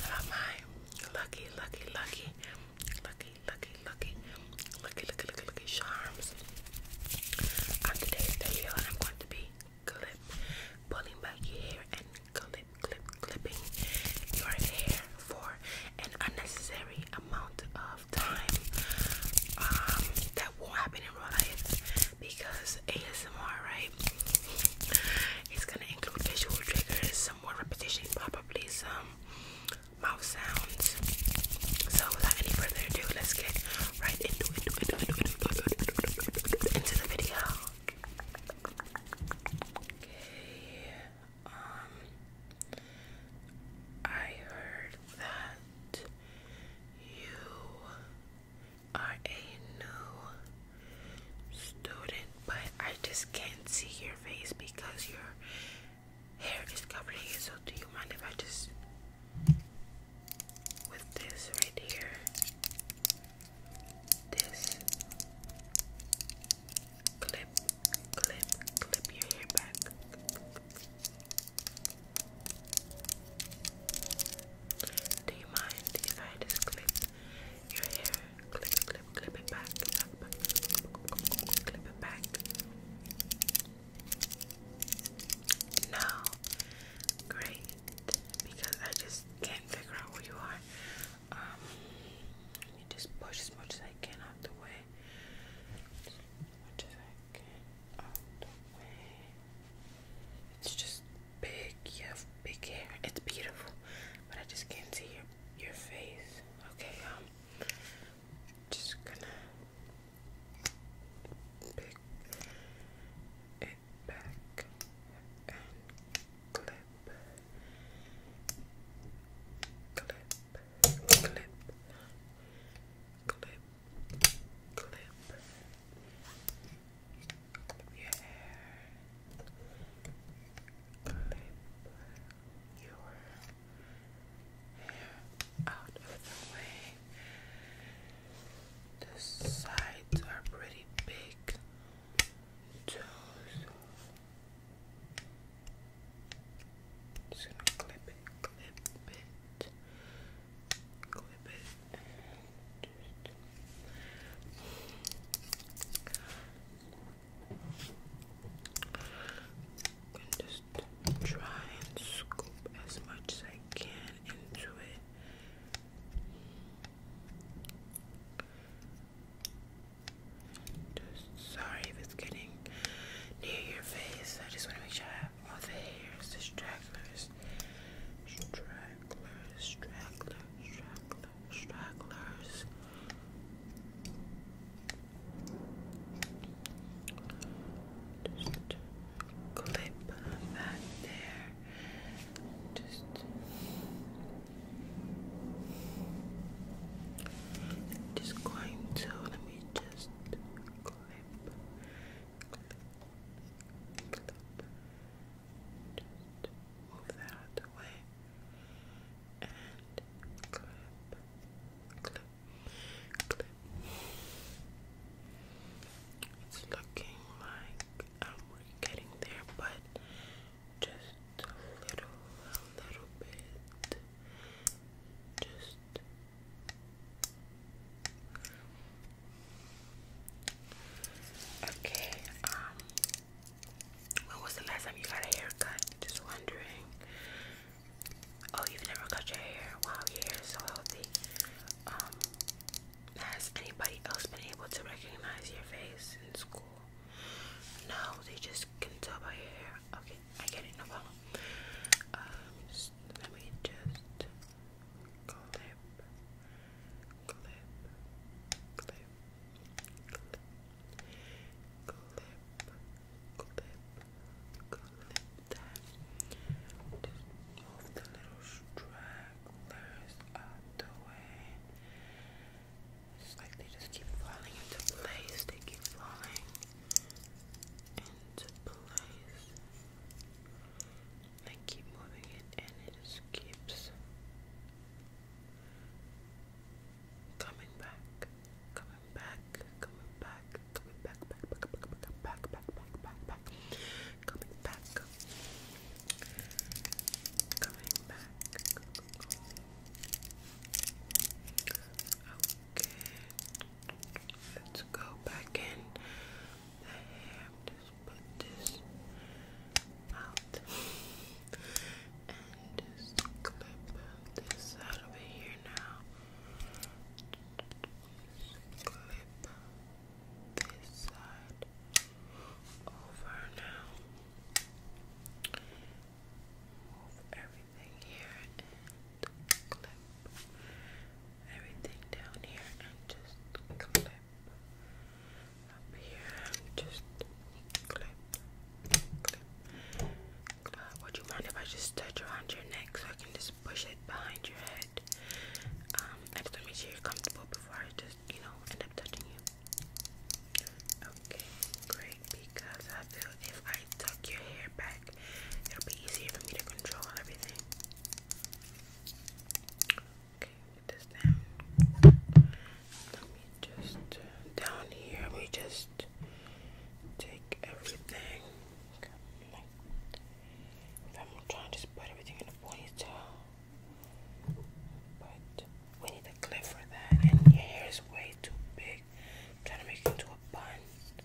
How about my lucky, lucky, lucky, lucky, lucky, lucky, lucky, lucky, lucky, lucky charms? On today's video, I'm going to be clip, pulling back your hair and clip, clip, clipping your hair for an unnecessary amount of of time um, that won't happen in real life because ASMR, right? It's gonna include visual triggers, some more repetition, probably some mouth sounds. So, without any further ado, let's get right into the video. Okay, um, I heard that you are a new student, but I just can't see your face because your hair is covering it. So, do you mind if I just with this right here? This clip, clip, clip your hair back. Do you mind if I just clip your hair? Clip, clip, clip it back, back, back, clip it back. No, great, because I just can't figure out where you are. Um, let me just push as much as I can out the way. It's just big. You have big hair. It's beautiful, but I just can't see your your face. Okay, um, just gonna pick it back and clip, clip, clip, clip clip your hair, out of the way. The sides are pretty big, toes. Just gonna clip it, clip it, clip it, just, try and scoop as much as I can into it. Just sorry if it's getting near your face. I just want to make sure all the hairs, the stragglers, stragglers, stragglers, stragglers, stragglers. Just clip that there. Just just going to let just clip move that out And clip, clip, clip. It's looking like um, we getting there, but just a little, a little bit. Just Okay, um, when was the last time you got a haircut? Just wondering. Oh, you've never cut your hair? Wow, your hair is so healthy. Um, has anybody else been able to recognize your face in school? No, they just can tell by your hair. Okay, I get it, no problem. let me just clip, clip, clip, clip, clip, clip, clip that. Just move the little stragglers out the way. It's like they just keep falling into place. They keep falling into place. I keep moving it and it keeps coming back, coming back, coming back, coming back, back, back, back, back, back, back, back, back, coming back, coming back. Okay. Let's go back in the hair. Just put this out and just clip this side over here now. clip this side over now. Move everything here clip everything down here and just clip up here just clip, clip. Uh, would you mind if I just touch around your neck so I can just push it behind your head? Um, just want to make you're comfortable before I just, you know, end up touching you. Okay, great. Because I feel if I tuck your hair back It'll be easier for me to control everything. Okay, get this down. Let me just uh, down here. We just take everything. I'm trying to just put everything in a ponytail, but we need a clip for that, and your hair is way too big. I'm trying to make it into a bun.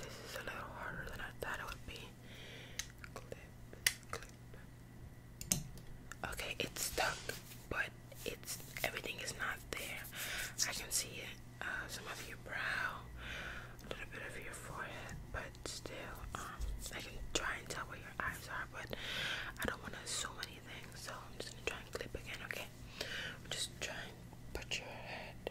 This is a little harder than I thought it would be. Okay, it's stuck, but it's everything is not there. I can see it. Uh, some of your brow, a little bit of your forehead, but still, um, I can try and tell where your eyes are, but I don't want to assume anything, so I'm just gonna try and clip again. Okay, just try and Put your head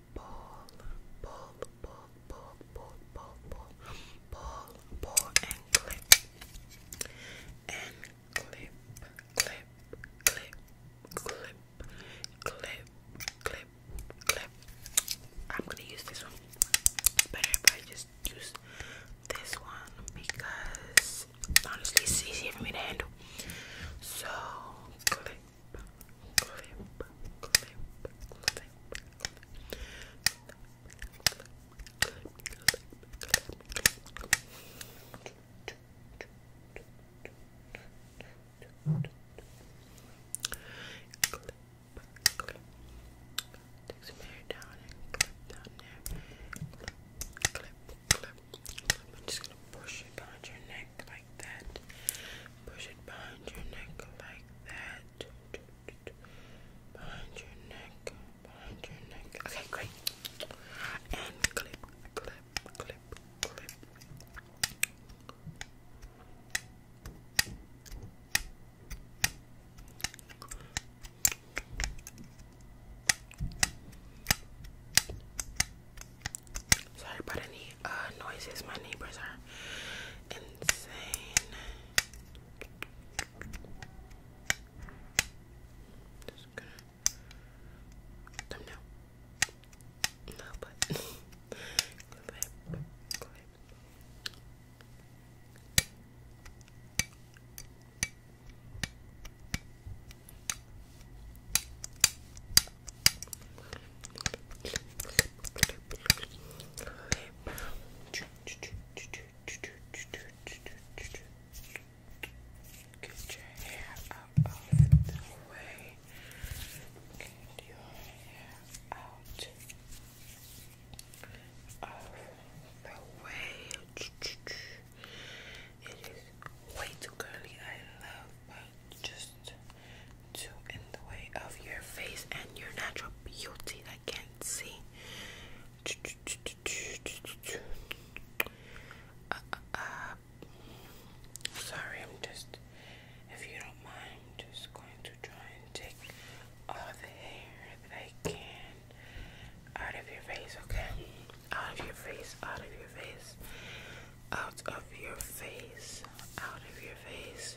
Pull, pull, pull, pull, pull, pull, pull, pull, and clip, and clip, clip, clip, clip, clip, clip, clip. I'm gonna use this one. better if I just use this one because honestly, it's easier for me to handle. So clip, clamp, clamp, clamp, Take some hair down and clip down there. Clip, clip, clip. clip. I'm just gonna push it behind your neck neck like that. Push it behind your neck like that. Behind your neck. Behind your neck. Okay, great. And clip, clip, clip, clip. Sorry about uh, any noises. My neighbors are insane. Just gonna thumbnail. No, but Get your hair out of the way. Get your hair out of the way. It is way too curly, I love, but just to in the way of your face and your natural beauty I can't see. Sorry, I'm just, if you don't mind, I'm just going to try and take all the hair that I can out of your face, okay? out of your face, out of your face, out of your face. Out of your face.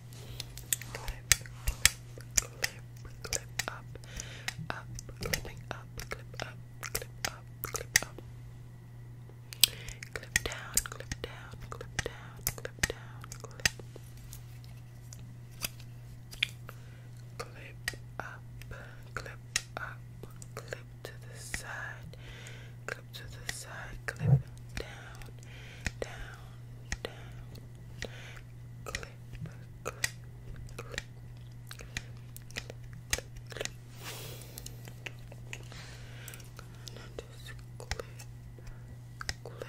Clip, clip, clip, clip up, up, clipping up, clip up, clip up, clip up. Clip down, clip down, clip down, clip down, clip. Clip up, clip up, clip to the side, to the side, clip down, down, down, clip, clip, clip, clip, clip, clip, clip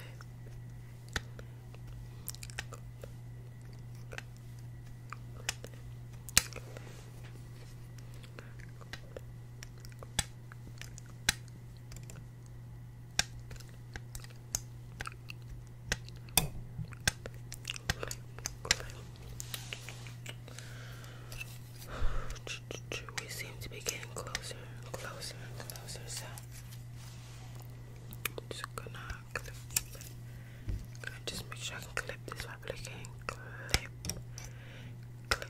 we seem to be getting closer and closer and closer, so I'm just gonna just make sure I clip this while clip clip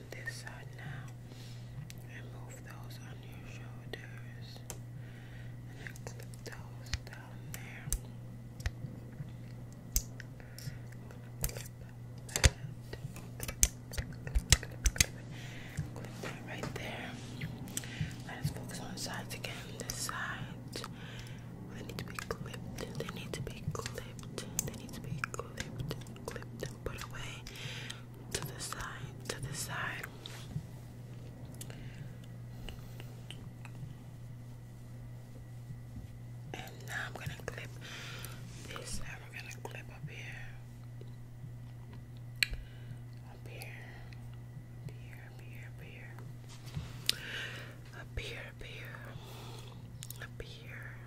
on this side now and move those on your shoulders and clip those down there. i clip that. right there. Let us focus on the sides again. The sides, they need to be clipped. They need to be clipped. They need to be clipped, clipped and put away to the side, to the side. And now I'm gonna clip this and we gonna clip Up here, up here, up here, up here. Up here, up here, up here,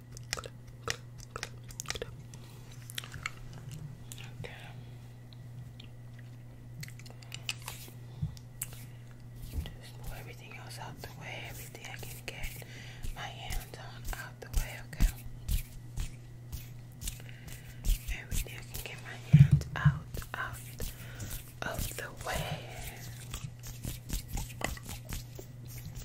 Okay. Just move everything else out the way, everything I can get my hands on out the way, okay? Everything I can get my hands out, out of the way.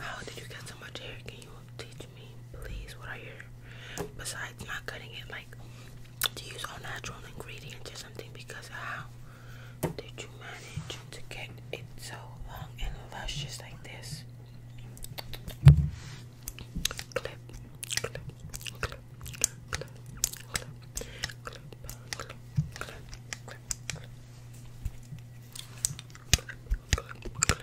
How did you get so much hair? Can you teach me, please? What are your besides not cutting it? Like, do you use all natural ingredients or something? Because how did you manage to get it so long and luscious like this? Clip, clip, clip, clip, clip, clip, clip, clip, clip, clip. Clip, clip, clip, clip,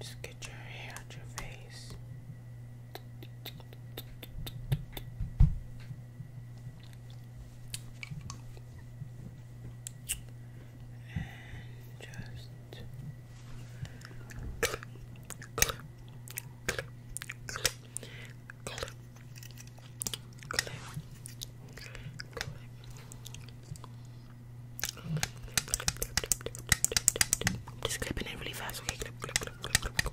Just get your hair out your face. And just just clipping it really fast, okay? Brush, brush, brush.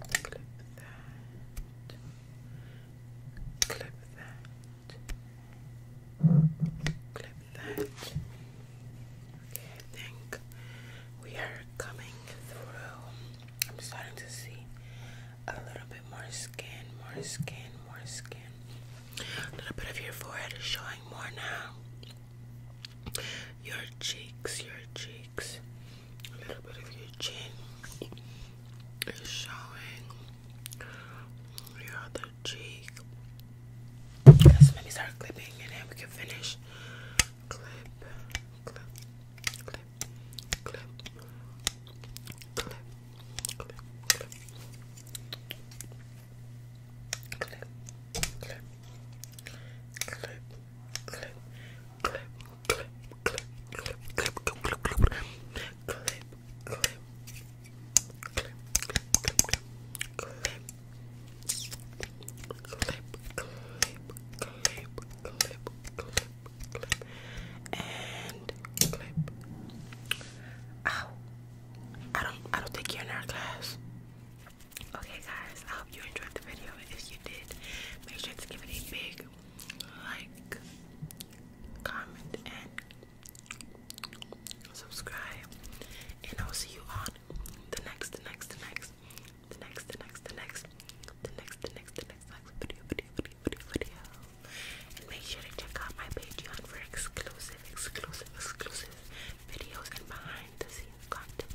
Clip that. Clip that. Clip that. Okay, I think we are coming through. I'm starting to see a little bit more skin, more skin, more skin. A little bit of your forehead is showing more now. Your cheeks, your cheeks a little bit of your chin is showing, your other cheek. So let me start clipping and then we can finish. Clip, clip, clip, clip, clip, clip, clip. Clip, clip, clip, clip, clip, clip, clip, clip, clip, clip, clip, clip, clip, clip. Clip, clip, clip, clip, clip, clip, clip, clip, clip, clip, and clip. Ow! I don't, I don't think you're in our class. Okay, guys, I hope you enjoyed the video. If you did, make sure to give it a big like, comment, and subscribe. And I'll see you on the next, the next, the next, the next, the next, the next, the next, the next, the next, next video, video, video, video, video. And make sure to check out my Patreon for exclusive, exclusive, exclusive videos and behind the scenes content.